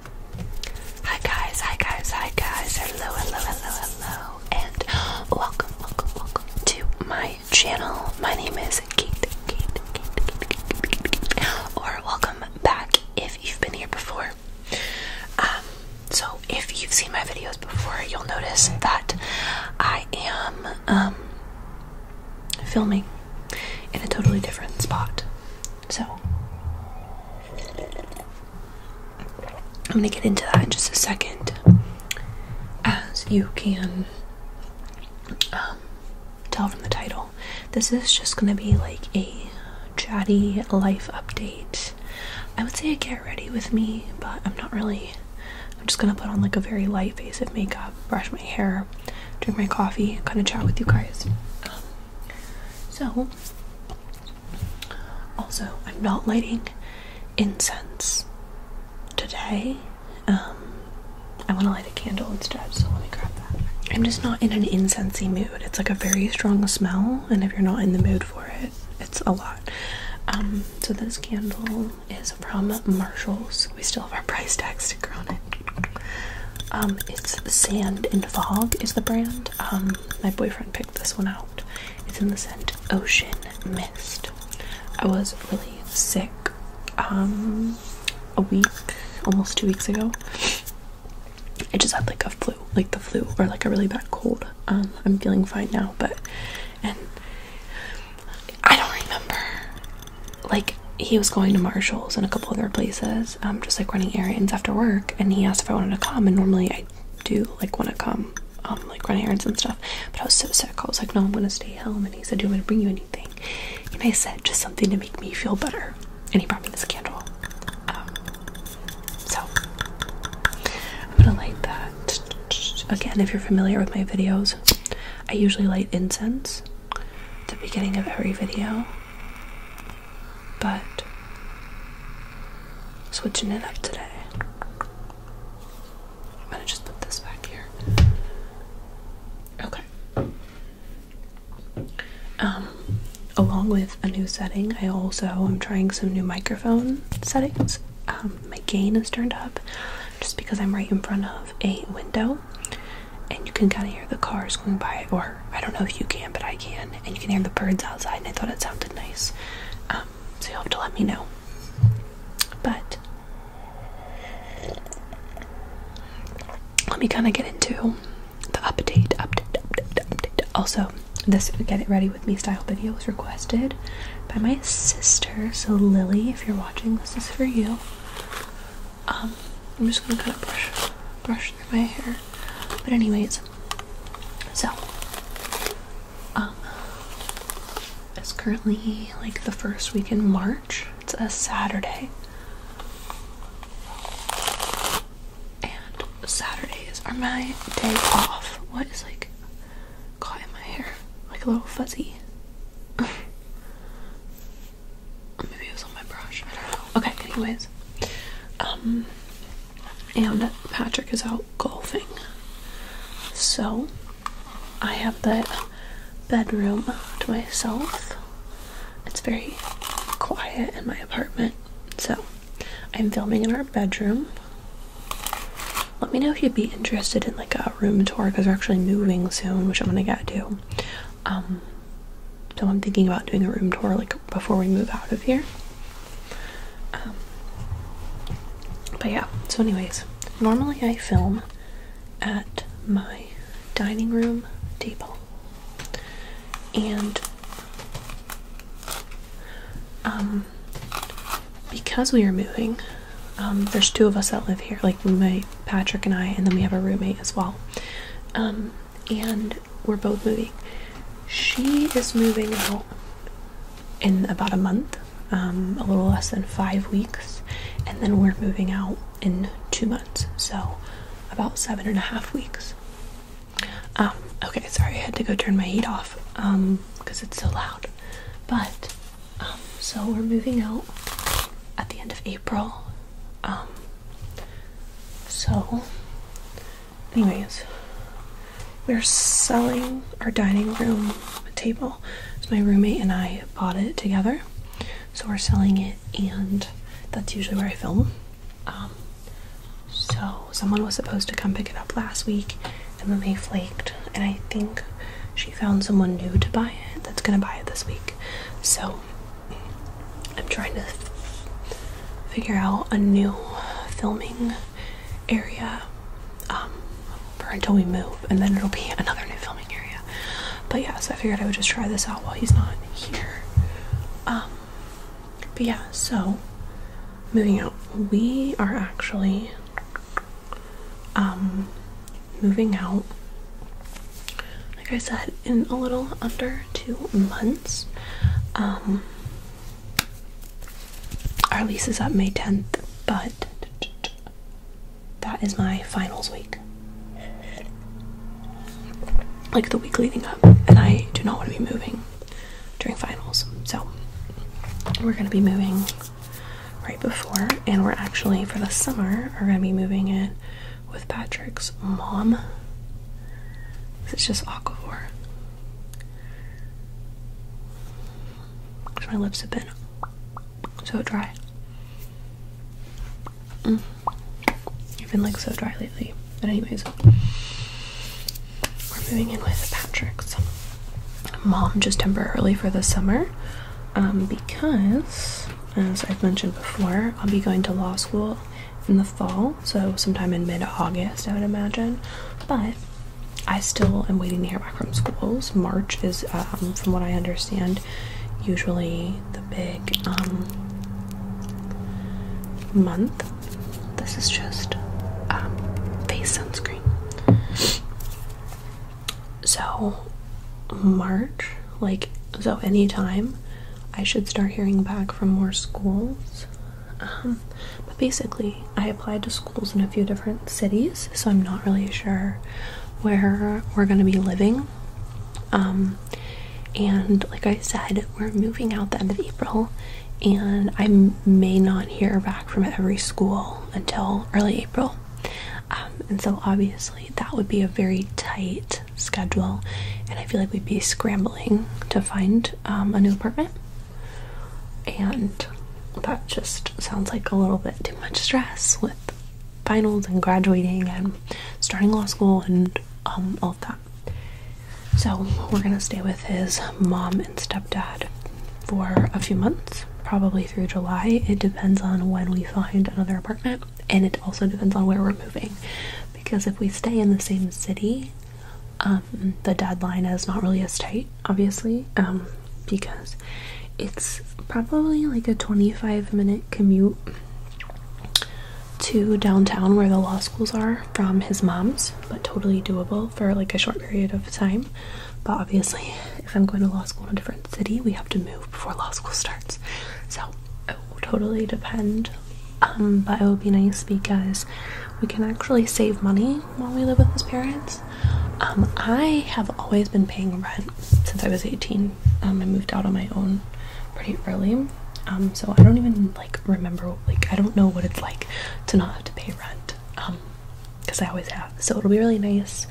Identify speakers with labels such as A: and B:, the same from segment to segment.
A: Hi guys, hi guys, hi guys. Hello, hello, hello, hello. And welcome, welcome, welcome to my channel. My name is Kate, Kate, Kate, Kate, Kate, Kate. Or welcome back if you've been here before. Um, so if you've seen my videos before, you'll notice that I am um filming in a totally different spot. So I'm going to get into that in just a second. As you can um, tell from the title, this is just going to be like a chatty life update. I would say a get ready with me, but I'm not really. I'm just going to put on like a very light face of makeup, brush my hair, drink my coffee, kind of chat with you guys. Um, so, also, I'm not lighting incense today. Um, I want to light a candle instead, so let me grab that. I'm just not in an incensey mood. It's like a very strong smell, and if you're not in the mood for it, it's a lot. Um, so this candle is from Marshalls. We still have our price tag sticker on it. Um, it's Sand and Fog is the brand. Um, my boyfriend picked this one out. It's in the scent Ocean Mist. I was really sick um a week, almost two weeks ago. I just had like a flu, like the flu or like a really bad cold. Um, I'm feeling fine now, but and I don't remember. Like he was going to Marshalls and a couple other places I'm um, just like running errands after work, and he asked if I wanted to come. And normally I do like want to come, um, like run errands and stuff. But I was so sick. I was like, no, I'm gonna stay home. And he said, do you want to bring you anything? And I said, just something to make me feel better. And he brought me this candle. Um, so I'm gonna light that. Again, if you're familiar with my videos, I usually light incense the beginning of every video, but switching it up today. I'm gonna just put this back here. Okay. Um, along with a new setting, I also am trying some new microphone settings. Um, my gain is turned up just because I'm right in front of a window and you can kind of hear the cars going by, or I don't know if you can, but I can, and you can hear the birds outside, and I thought it sounded nice. Um, so you'll have to let me know. But let me kind of get into the update, update, update, update. Also, this Get It Ready With Me style video was requested by my sister. So, Lily, if you're watching, this is for you. Um, I'm just gonna kind of brush, brush my hair. But anyways, so um, it's currently like the first week in March. It's a Saturday. And Saturdays are my day off. What is like caught in my hair? Like a little fuzzy. Maybe it was on my brush. Okay, anyways. Um and Patrick is out golfing. So I have the bedroom to myself. It's very quiet in my apartment. So I'm filming in our bedroom. Let me know if you'd be interested in like a room tour because we're actually moving soon, which I'm gonna get to. Um, so I'm thinking about doing a room tour like before we move out of here. Um, but yeah, so anyways, normally I film at my dining room table. And um because we are moving, um, there's two of us that live here, like my Patrick and I, and then we have a roommate as well. Um, and we're both moving. She is moving out in about a month, um, a little less than five weeks, and then we're moving out in two months, so about seven and a half weeks. Um, okay, sorry, I had to go turn my heat off because um, it's so loud. But so we're moving out at the end of April, um, so, anyways, we're selling our dining room table. So, my roommate and I bought it together. So, we're selling it, and that's usually where I film. Um, so, someone was supposed to come pick it up last week, and then they flaked, and I think she found someone new to buy it that's gonna buy it this week. So, I'm trying to figure out a new filming area um, for until we move, and then it'll be another new filming area. But yeah, so I figured I would just try this out while he's not here. Um, but yeah, so moving out, we are actually um, moving out like I said, in a little under two months. Um, our lease is up May 10th, but that is my finals week. Like the week leading up, and I do not want to be moving during finals. So we're going to be moving right before, and we're actually for the summer are going to be moving in with Patrick's mom. It's just aquaphor. Because my lips have been so dry. Mm. I've been like so dry lately. But anyways, we're moving in with Patrick's mom just temporarily for the summer um, because as I've mentioned before, I'll be going to law school in the fall, so sometime in mid August, I would imagine. But I still am waiting to hear back from schools. March is, um, from what I understand, usually the big um, month. This is just um, face sunscreen. So, March, like, so anytime I should start hearing back from more schools. Um, but basically, I applied to schools in a few different cities, so I'm not really sure where we're going to be living. Um, and like I said, we're moving out the end of April, and I may not hear back from every school until early April. Um, and so, obviously, that would be a very tight schedule, and I feel like we'd be scrambling to find um, a new apartment. And that just sounds like a little bit too much stress with finals and graduating and starting law school and um, all of that. So, we're gonna stay with his mom and stepdad for a few months, probably through July. It depends on when we find another apartment and it also depends on where we're moving because if we stay in the same city um, the deadline is not really as tight obviously um, because it's probably like a 25 minute commute to downtown where the law schools are from his mom's but totally doable for like a short period of time but obviously if i'm going to law school in a different city we have to move before law school starts so it will totally depend. Um, but it will be nice because we can actually save money while we live with his parents. Um, I have always been paying rent since I was 18. Um, I moved out on my own pretty early. so I don't even like remember, like, I don't know what it's like to not have to pay rent. because I always have. So it'll be really nice.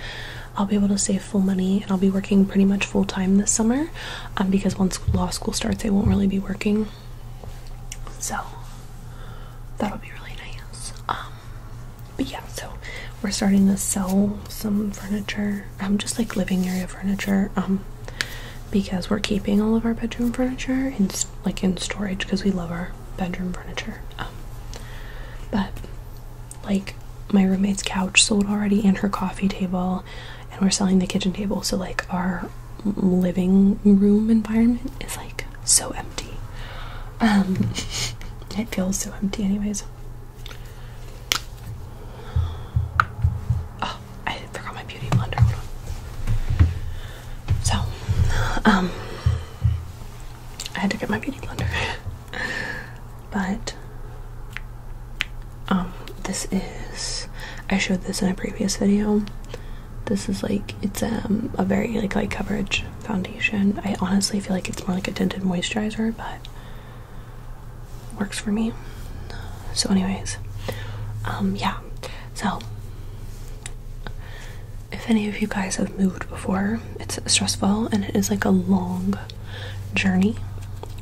A: I'll be able to save full money and I'll be working pretty much full time this summer um, because once law school starts, I won't really be working. So that'll be really nice. Um, but yeah, so we're starting to sell some furniture, I'm um, just like living area furniture, because we're keeping all of our bedroom furniture in like in storage because we love our bedroom furniture. but like my roommate's couch sold already and her coffee table and we're selling the kitchen table so like our living room environment is like so empty um it feels so empty anyways oh i forgot my beauty blender so um i had to get my beauty blender but um this is I showed this in a previous video. This is like it's um a very like light coverage foundation. I honestly feel like it's more like a tinted moisturizer, but works for me. So anyways, um yeah. So if any of you guys have moved before, it's stressful and it is like a long journey,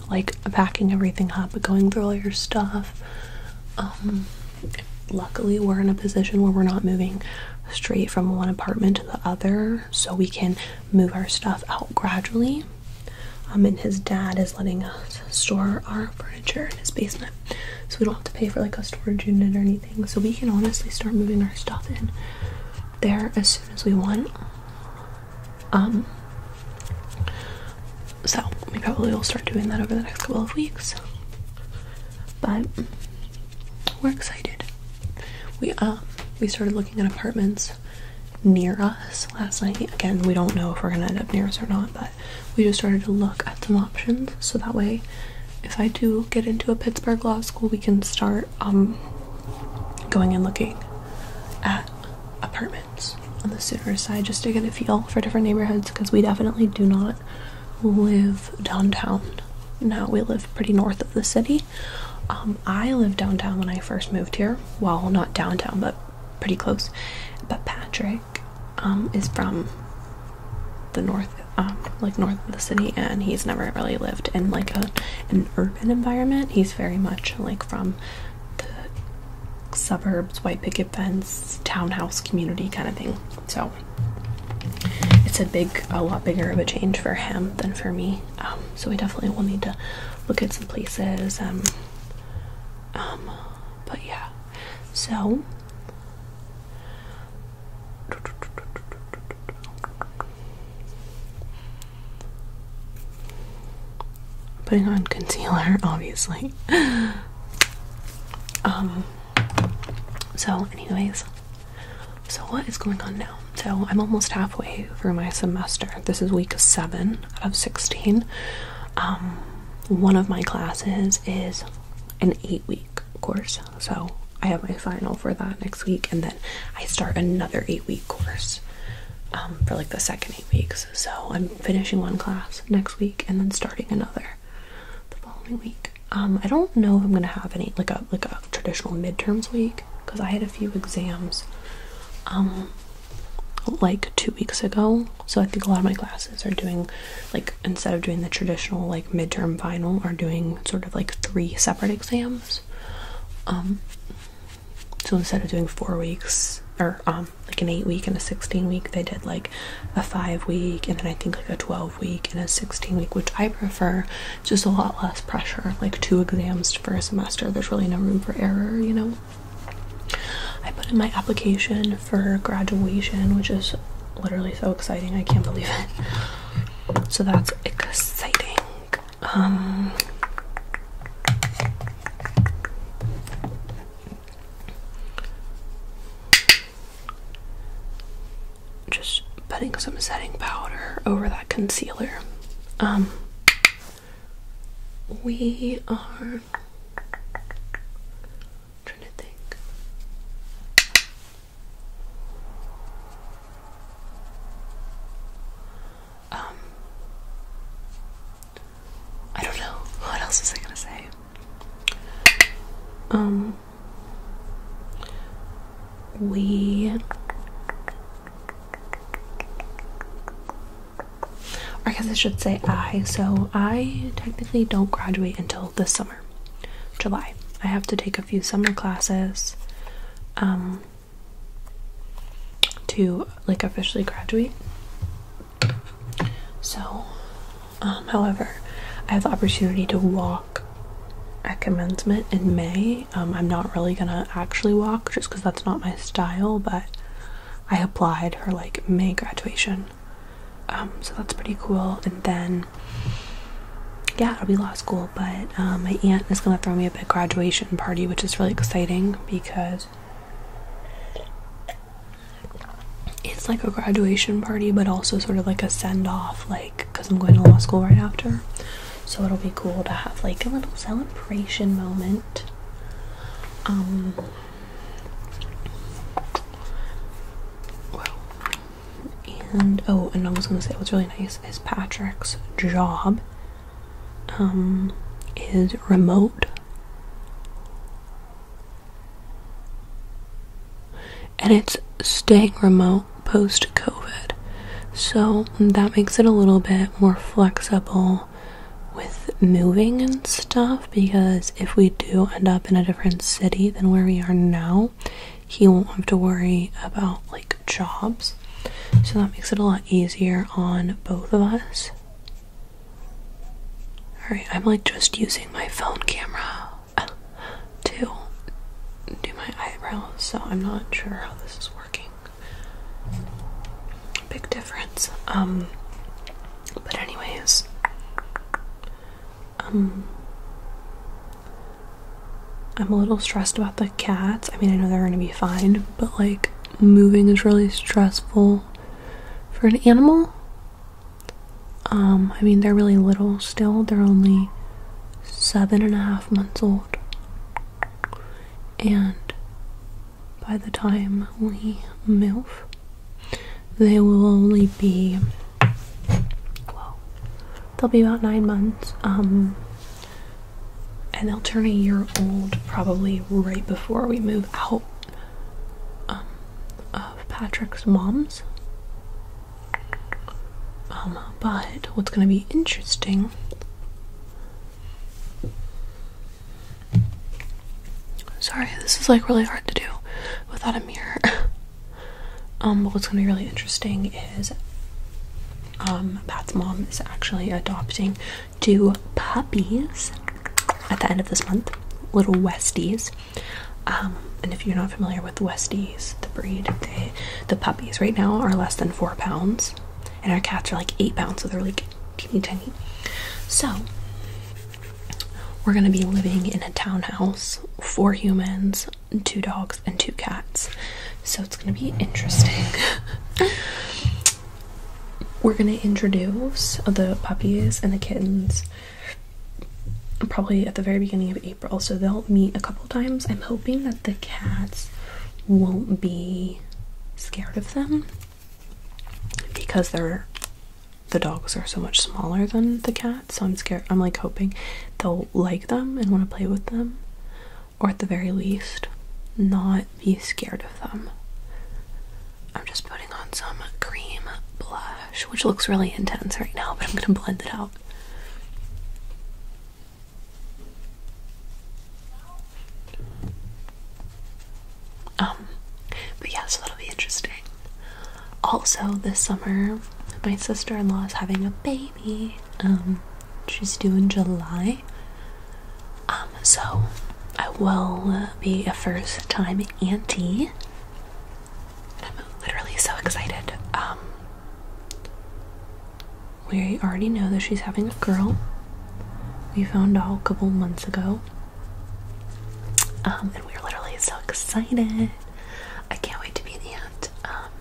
A: like packing everything up, going through all your stuff. Um, luckily, we're in a position where we're not moving straight from one apartment to the other, so we can move our stuff out gradually. Um, and his dad is letting us store our furniture in his basement, so we don't have to pay for like a storage unit or anything. So we can honestly start moving our stuff in there as soon as we want. Um, so we probably will start doing that over the next couple of weeks. But we're excited. We um we started looking at apartments near us last night. Again, we don't know if we're gonna end up near us or not, but we just started to look at some options so that way if I do get into a Pittsburgh law school we can start um going and looking at apartments on the Sutter side just to get a feel for different neighborhoods because we definitely do not live downtown. Now we live pretty north of the city. Um, I live downtown when I first moved here. Well, not downtown, but pretty close. But Patrick um, is from the north, um, like north of the city, and he's never really lived in like a an urban environment. He's very much like from the suburbs, white picket fence, townhouse community kind of thing. So it's a big, a lot bigger of a change for him than for me. Um, so we definitely will need to look at some places. Um, um, but yeah, so. Putting on concealer, obviously. Um. So, anyways, so what is going on now? So I'm almost halfway through my semester. This is week seven out of sixteen. Um, one of my classes is an eight-week course, so I have my final for that next week, and then I start another eight-week course. Um, for like the second eight weeks. So I'm finishing one class next week and then starting another the following week. Um, I don't know if I'm gonna have any like a like a traditional midterms week because I had a few exams um like two weeks ago. So I think a lot of my classes are doing like instead of doing the traditional like midterm final are doing sort of like three separate exams. Um, so instead of doing four weeks or um, like an eight week and a 16 week, they did like a five week and then I think like a 12 week and a 16 week, which I prefer. just a lot less pressure, like two exams for a semester. There's really no room for error, you know. I put in my application for graduation, which is literally so exciting. I can't believe it. So that's exciting. Um, just putting some setting powder over that concealer. Um, we are trying to think um, I don't know. What else was I gonna say? Um, we or I guess I should say I. So I technically don't graduate until this summer, July. I have to take a few summer classes. Um, to like officially graduate. So, um, however, I have the opportunity to walk at commencement in May. Um, I'm not really gonna actually walk just because that's not my style, but I applied for like May graduation. Um, so that's pretty cool. And then, yeah, it'll be law school but um, my aunt is going to throw me a big graduation party, which is really exciting because it's like a graduation party, but also sort of like a send off, like because I'm going to law school right after. So it'll be cool to have like a little celebration moment. Um, and oh, and I was gonna say what's really nice is Patrick's job um, is remote. And it's staying remote post COVID. So that makes it a little bit more flexible with moving and stuff because if we do end up in a different city than where we are now, he won't have to worry about like jobs. So that makes it a lot easier on both of us. Alright, I'm like just using my phone camera to do my eyebrows, so I'm not sure how this is working. Big difference. Um but anyways. Um I'm a little stressed about the cats. I mean, I know they're gonna be fine, but like moving is really stressful for an animal. Um, I mean, they're really little still, they're only seven and a half months old, and by the time we move, they will only be well, they'll be about nine months. Um, and they'll turn a year old probably right before we move out um, of Patrick's mom's. Um, but what's going to be interesting sorry this is like really hard to do without a mirror um, but what's going to be really interesting is um, Pat's mom is actually adopting two puppies at the end of this month, little Westies. Um, and if you're not familiar with Westies, the breed, the puppies right now are less than four pounds, and our cats are like eight pounds, so they're like teeny tiny. So, we're gonna be living in a townhouse, four humans, two dogs, and two cats so it's going to be interesting. We're going to introduce the puppies and the kittens probably at the very beginning of April, so they'll meet a couple times. I'm hoping that the cats won't be scared of them because they're the dogs are so much smaller than the cats so i'm scared i'm like hoping they'll like them and want to play with them or at the very least, not be scared of them. I'm just putting on some cream blush, which looks really intense right now, but I'm gonna blend it out. Um, but yeah, so that'll be interesting. Also, this summer, my sister in law is having a baby. Um, she's due in July. Um, so I will uh, be a first time auntie. I'm literally so excited. Um, we already know that she's having a girl. We found out a couple months ago. Um, and we're literally so excited. I can't wait to be the aunt. Um,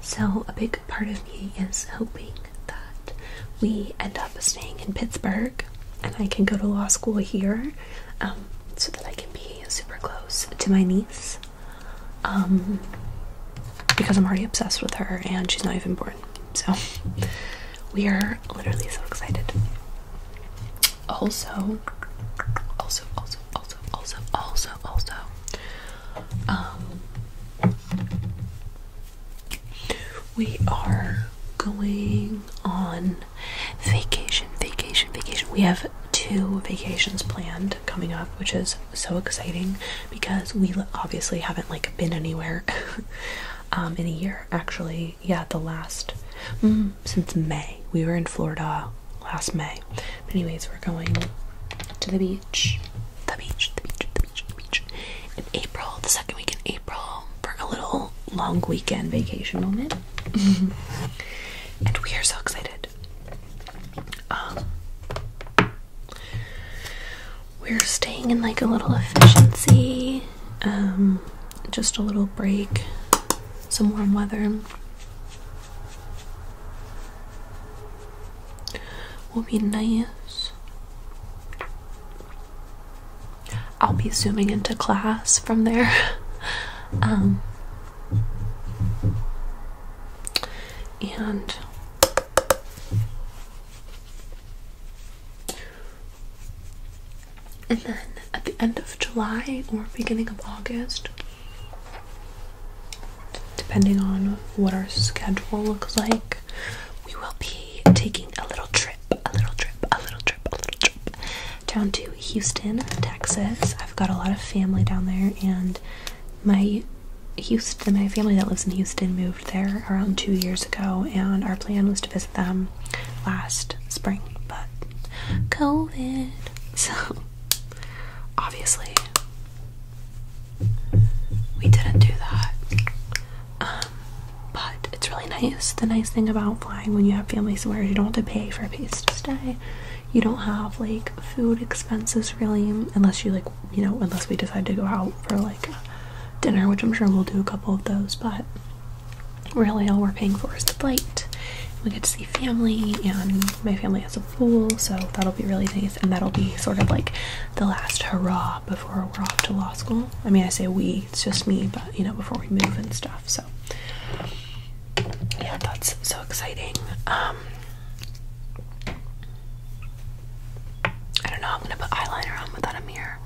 A: so, a big part of me is hoping that we end up staying in Pittsburgh and I can go to law school here um, so that I can be super close to my niece um, because I'm already obsessed with her and she's not even born. So, we are literally so excited. Also, also, also, also, also, also, also, um, we are going on vacation, vacation, vacation. We have two vacations planned coming up, which is so exciting because we obviously haven't like been anywhere um, in a year. Actually, yeah, the last mm, since May we were in Florida last May. But anyways, we're going to the beach. The beach, the beach, the beach, the beach. In April, the second week in April, for a little long weekend vacation moment. and we are so excited. Um, we're staying in like a little efficiency, um, just a little break, some warm weather will be nice. I'll be zooming into class from there. um, and and then at the end of July or beginning of August, depending on what our schedule looks like, we will be taking a little trip, a little trip, a little trip, a little trip down to Houston, Texas. I've got a lot of family down there, and my Houston, my family that lives in Houston moved there around two years ago, and our plan was to visit them last spring, but COVID. So obviously, we didn't do that. Um, but it's really nice. The nice thing about flying when you have family somewhere you don't have to pay for a place to stay. You don't have like food expenses really, unless you like you know unless we decide to go out for like dinner, which I'm sure we'll do a couple of those. But really, all we're paying for is the flight. We get to see family, and my family has a so that'll be really nice and that'll be sort of like the last hurrah before we're off to law school i mean i say we it's just me but you know before we move and stuff so yeah that's so exciting um, i don't know i'm gonna put eyeliner on without a mirror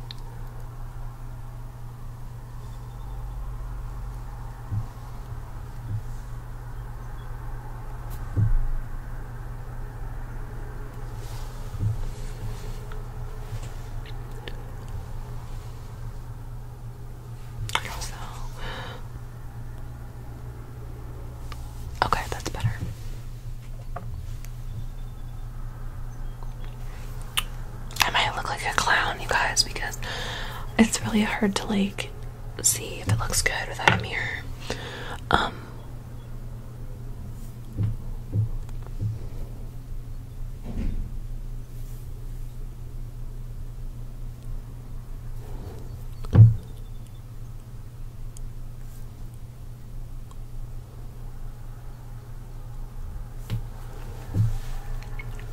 A: so, okay, that's better. I might look like a clown, you guys, because it's really hard to like see if it looks good without a mirror. Um,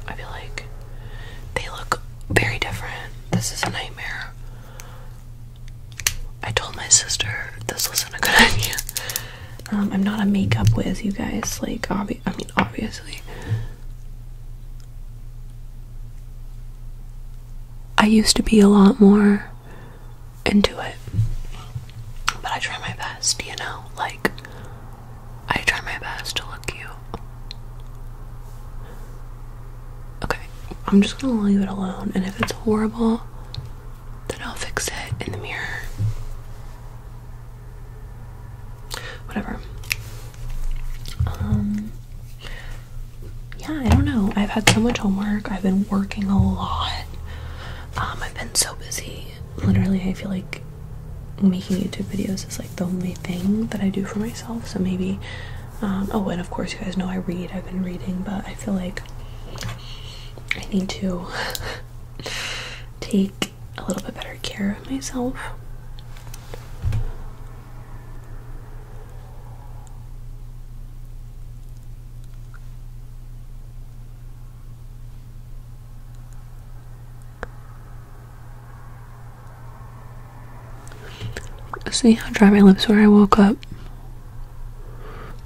A: I feel like they look very different. This is a nightmare. I told my sister this wasn't a good idea. Um, I'm not a makeup whiz, you guys. Like, I mean, obviously. I used to be a lot more into it. But I try my best, you know? Like, I try my best to look cute. Okay, I'm just gonna leave it alone, and if it's horrible, then I'll fix it in the mirror. Whatever. Um, yeah, I don't know. I've had so much homework, I've been working a lot. Um, I've been so busy. Literally, I feel like making YouTube videos is like the only thing that I do for myself, so maybe um, oh, and of course, you guys know I read. I've been reading, but I feel like I need to take a little bit better care of myself. See how dry my lips were? I woke up.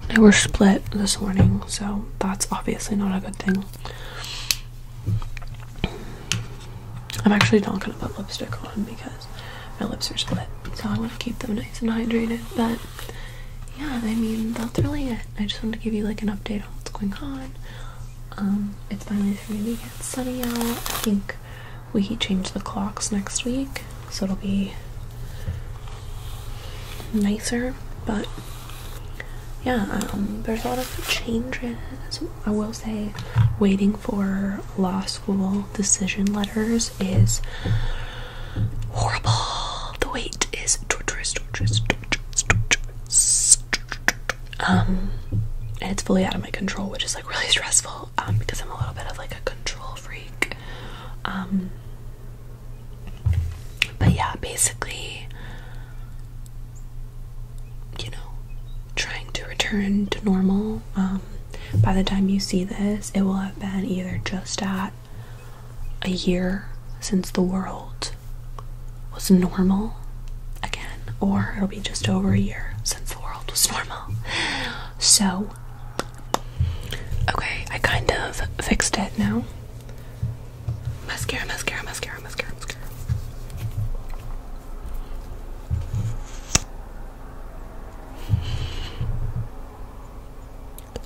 A: They were split this morning, so that's obviously not a good thing. I'm actually not gonna put lipstick on because my lips are split, so I want to keep them nice and hydrated. But yeah, I mean that's really it. I just wanted to give you like an update on what's going on. Um, it's finally starting to get sunny out. I think we change the clocks next week, so it'll be nicer. But yeah, um, there's a lot of changes. I will say, waiting for law school decision letters is horrible. The wait is torturous, torturous, Um, and it's fully out of my control, which is like really stressful. Um, because I'm a little bit of like a control freak. Um, but yeah, basically, you know, trying to return to normal. Um, by the time you see this, it will have been either just at a year since the world was normal again, or it'll be just over a year since the world was normal. So, okay, I kind of fixed it now. Mascara, mascara, mascara, mascara, mascara.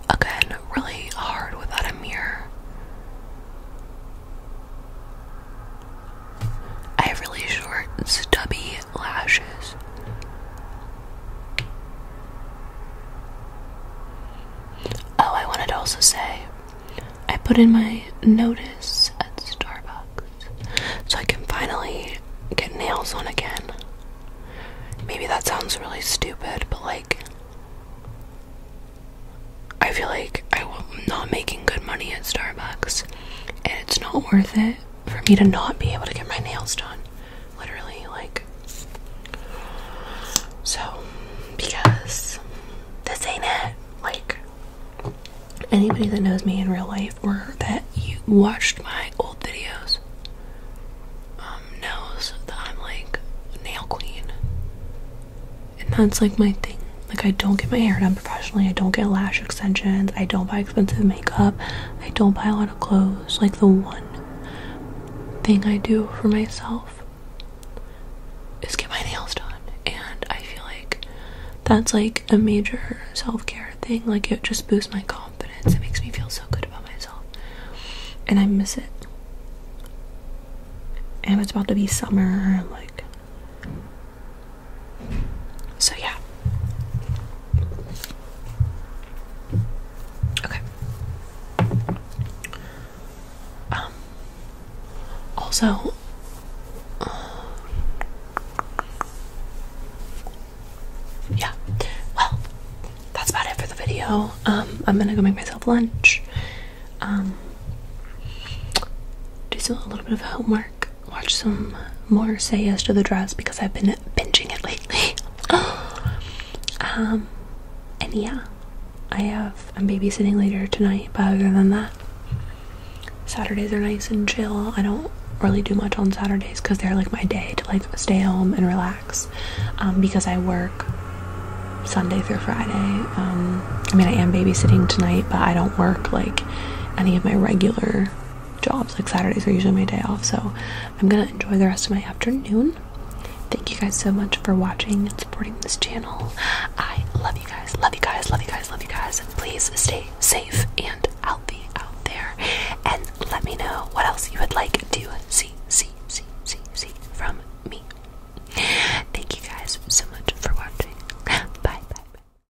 A: Again, really hard without a mirror. I have really short, stubby lashes. Oh, I wanted to also say I put in my notice at Starbucks so I can finally get nails on again. Maybe that sounds really stupid, but like, I feel like I'm not making good money at Starbucks and it's not worth it for me to not be able to get my nails done. Literally, like. So, because this ain't it. Like, anybody that knows me in real life or that you watched my old videos um, knows that I'm like a nail queen. And that's like my thing. Like, I don't get my hair done professionally. I don't get lash extensions. I don't buy expensive makeup. I don't buy a lot of clothes. Like the one thing I do for myself is get my nails done. And I feel like that's like a major self-care thing. Like it just boosts my confidence. It makes me feel so good about myself. And I miss it. And it's about to be summer. Like so, yeah. Okay. Um, also, uh, yeah. Well, that's about it for the video. Um, I'm gonna go make myself lunch. Um, do a little bit of homework watch some more Say Yes to the Dress because I've been binging it lately. um, and yeah, I have. I'm babysitting later tonight, but other than that, Saturdays are nice and chill. I don't really do much on Saturdays because they're like my day to like stay home and relax um, because I work Sunday through Friday. Um, I mean, I am babysitting tonight, but I don't work like any of my regular jobs. Like Saturdays are usually my day off, so I'm gonna enjoy the rest of my afternoon. Thank you guys so much for watching and supporting this channel. I love you guys, love you guys, love you guys, love you guys. And please stay safe and healthy out there. And let me know what else you would like to see, see, see, see, see from me. Thank you guys so much for watching. Bye, bye, bye.